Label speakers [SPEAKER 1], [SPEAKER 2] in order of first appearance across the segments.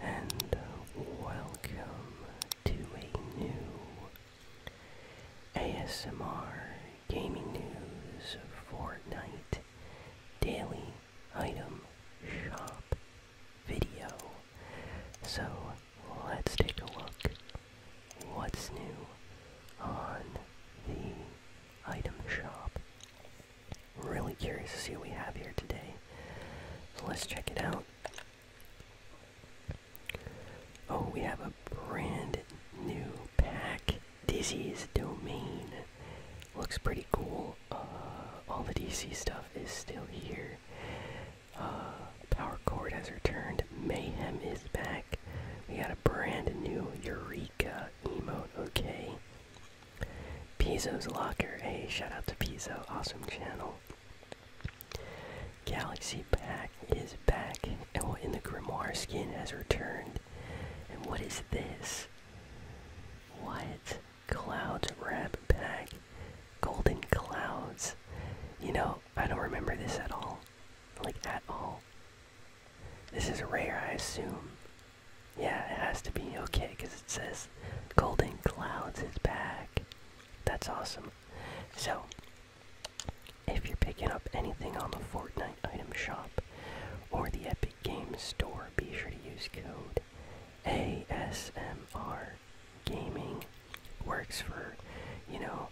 [SPEAKER 1] and welcome to a new ASMR Gaming News Fortnite Daily Item Shop video. So let's take a look what's new on the item shop. Really curious to see what we have here today. So let's check it out. Oh, we have a brand new pack. DC's Domain. Looks pretty cool. Uh, all the DC stuff is still here. Uh, power Cord has returned. Mayhem is back. We got a brand new Eureka emote. Okay. Pizzo's Locker. Hey, shout out to Pizzo. Awesome channel. Galaxy Pack is back. Oh, and what in the Grimoire skin has returned. And what is this? What? cloud Wrap Pack. Golden Clouds. You know, I don't remember this at all. Like, at all. This is rare, I assume. Yeah, it has to be okay because it says Golden Clouds is back. That's awesome. So, if you're picking up anything on the Fortnite item shop or the Epic Games Store, be sure to use code ASMR Gaming. Works for, you know,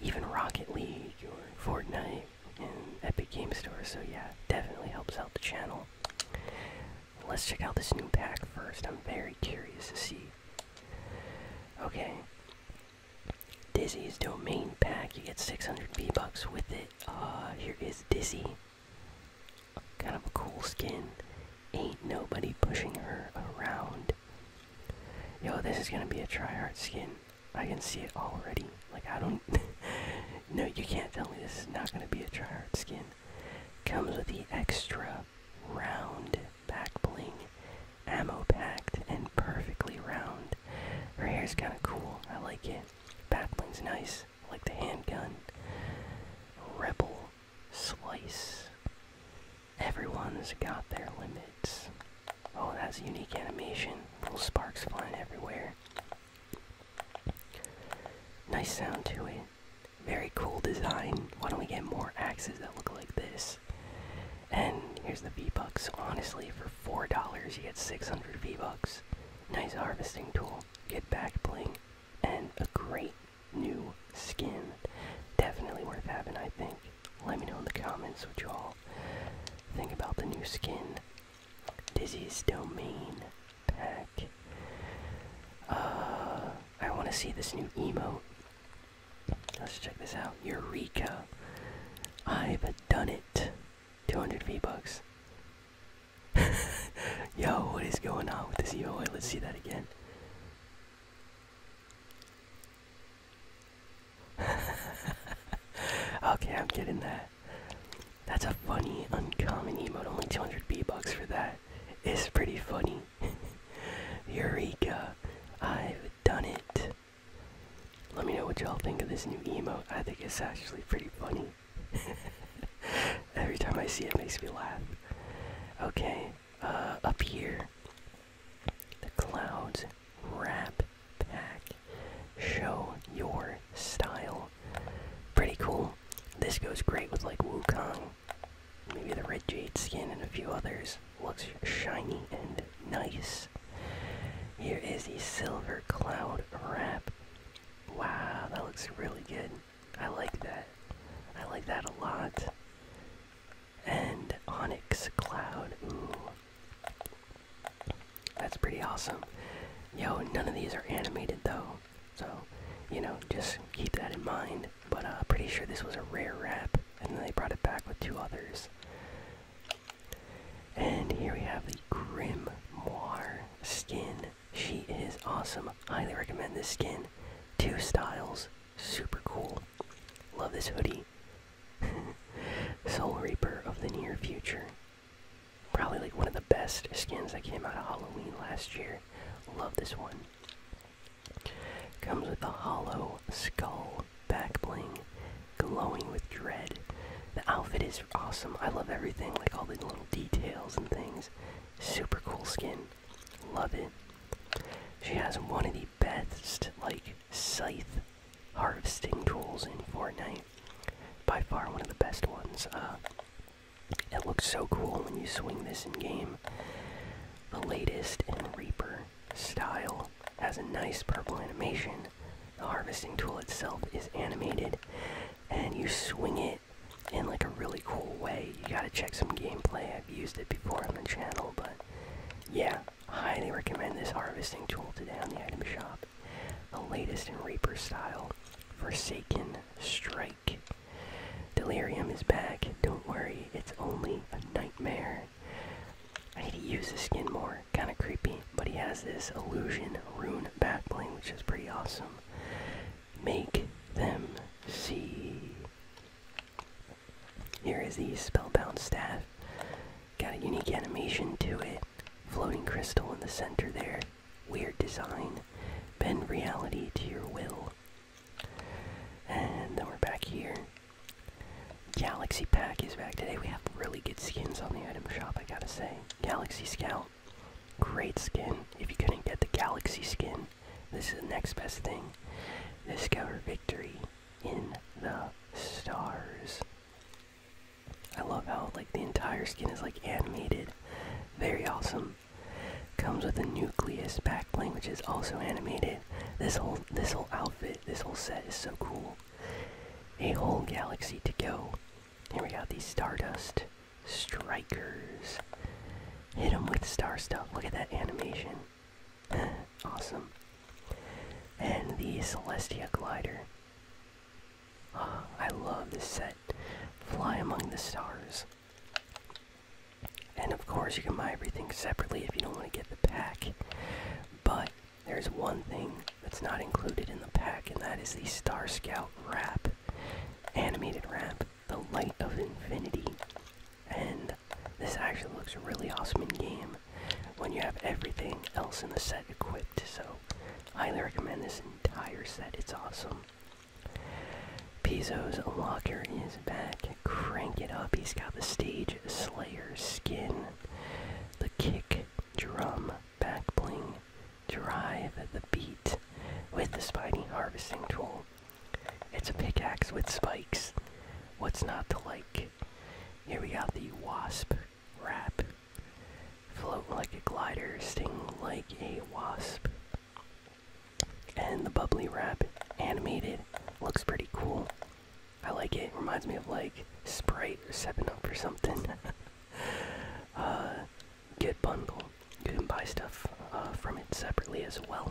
[SPEAKER 1] even Rocket League or Fortnite and Epic Games Store. So, yeah, definitely helps out the channel. Let's check out this new pack first. I'm very curious to see. Okay. Dizzy's domain pack. You get 600 V bucks with it. Uh, here is Dizzy. Kind of a cool skin. Ain't nobody pushing her around. Yo, this is gonna be a tryhard skin. I can see it already. Like I don't. No, you can't tell me this is not going to be a tryhard skin. Comes with the extra round back bling, ammo packed, and perfectly round. Her hair's kind of cool. I like it. Back bling's nice. like the handgun. Rebel slice. Everyone's got their limits. Oh, that's a unique animation. Little sparks flying everywhere. Nice sound to it. Very cool design. Why don't we get more axes that look like this? And here's the V-Bucks. Honestly, for $4, you get 600 V-Bucks. Nice harvesting tool. Get back bling. And a great new skin. Definitely worth having, I think. Let me know in the comments what you all think about the new skin. Dizzy's Domain pack. Uh, I want to see this new emote. Let's check this out. Eureka! I've done it. 200 V-Bucks. Yo, what is going on with this emote? Let's see that again. okay, I'm getting that. That's a funny, uncommon emote. Only 200 B bucks for that. It's pretty funny. Eureka! I've done it. Let me know what y'all think of this new emote. I think it's actually pretty funny. Every time I see it, it makes me laugh. Okay, uh, up here, the clouds Wrap Pack. Show your style. Pretty cool. This goes great with like Wukong, maybe the Red Jade skin, and a few others. Looks shiny and nice. Here is the Silver Cloud Wrap. Wow, that looks really good. I like that. I like that a lot. And Onyx Cloud. That's pretty awesome. Yo, none of these are animated though, so you know, just keep that in mind. But I'm uh, pretty sure this was a rare wrap, and then they brought it back with two others. And here we have the Grim Moir skin. She is awesome. Highly recommend this skin. Two styles, super cool. Love this hoodie. Soul Reaper of the Near Future. Probably like one of the best skins that came out of Halloween last year. Love this one. Comes with a hollow skull back bling, glowing with dread. The outfit is awesome. I love everything, like all the little details and things. Super cool skin. Love it. She has one of the best, like, scythe harvesting tools in Fortnite. By far one of the best ones. Uh, it looks so cool when you swing this in game. The latest in Reaper style has a nice purple animation. The harvesting tool itself is animated, and you swing it in like a really cool way. You gotta check some gameplay. I've used it before on the channel, but yeah, Highly recommend this harvesting tool today on the item shop. The latest in Reaper style, Forsaken Strike. Delirium is back. Don't worry, it's only a nightmare. I need to use the skin more. Kind of creepy, but he has this illusion rune backbling, which is pretty awesome. Make them see. Here is the Spellbound Staff. Got a unique animation to it. Floating crystal in the center there. Weird design. Bend reality to your will. And then we're back here. Galaxy Pack is back today. We have really good skins on the item shop, I gotta say. Galaxy Scout, great skin. If you couldn't get the Galaxy skin, this is the next best thing. Discover victory in the stars. I love how like the entire skin is like animated. Very awesome. Comes with a nucleus backplane which is also animated. This whole this whole outfit, this whole set is so cool. A whole galaxy to go. Here we have these Stardust Strikers. Hit him with star stuff. Look at that animation. awesome. And the Celestia Glider. I love this set. Fly among the stars. And of course, you can buy everything separately if you don't want to get the pack. But there's one thing that's not included in the pack, and that is the Star Scout wrap, animated wrap the light of infinity and this actually looks really awesome in game when you have everything else in the set equipped so highly recommend this entire set it's awesome Pizzo's locker is back. Crank it up. He's got the stage slayer skin, the kick drum, back bling, drive the beat with the spiny harvesting tool. It's a pickaxe with spikes. What's not to like? Here we have the wasp wrap. Float like a glider, sting like a wasp. And the bubbly wrap, animated, looks pretty cool. I like it. Reminds me of like Sprite or Seven Up or something. uh, good bundle. You can buy stuff uh, from it separately as well.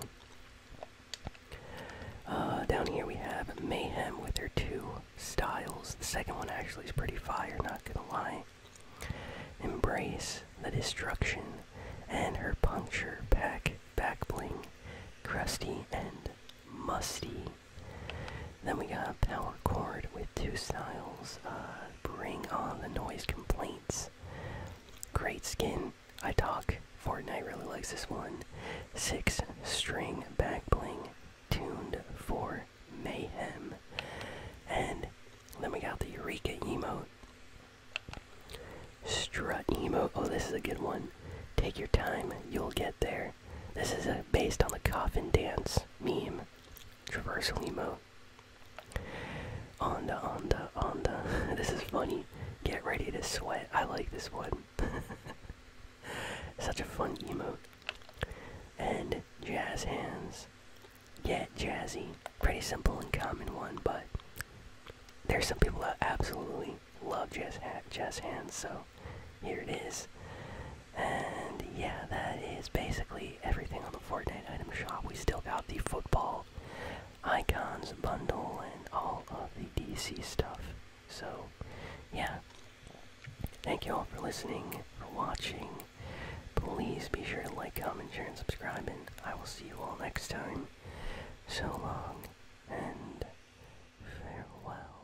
[SPEAKER 1] Uh, down here we have Mayhem with her two styles. The second one actually is pretty fire, not gonna lie. Embrace the Destruction and her Puncture Pack Back Bling, Crusty and Musty. Then we got Power Cord with two styles. Uh, Bring on the noise complaints. Great skin. I talk. Fortnite really likes this one. Six string back bling tuned for mayhem. And then we got the Eureka emote. Strut emote. Oh, this is a good one. Take your time, you'll get there. This is based on the coffin dance meme. Traverse emote. Onda, onda, onda. this is funny. Get ready to sweat. I like this one. Such a fun emote. And jazz hands. Get jazzy. Pretty simple and common one, but there's some people that absolutely love jazz hands, so here it is. And yeah, that is basically everything on the Fortnite item shop. We still got the football icons bundle and all of the DC stuff. So, yeah. Thank you all for listening, for watching. Please be sure to like, comment, share, and subscribe, and I will see you all next time. So long, and farewell.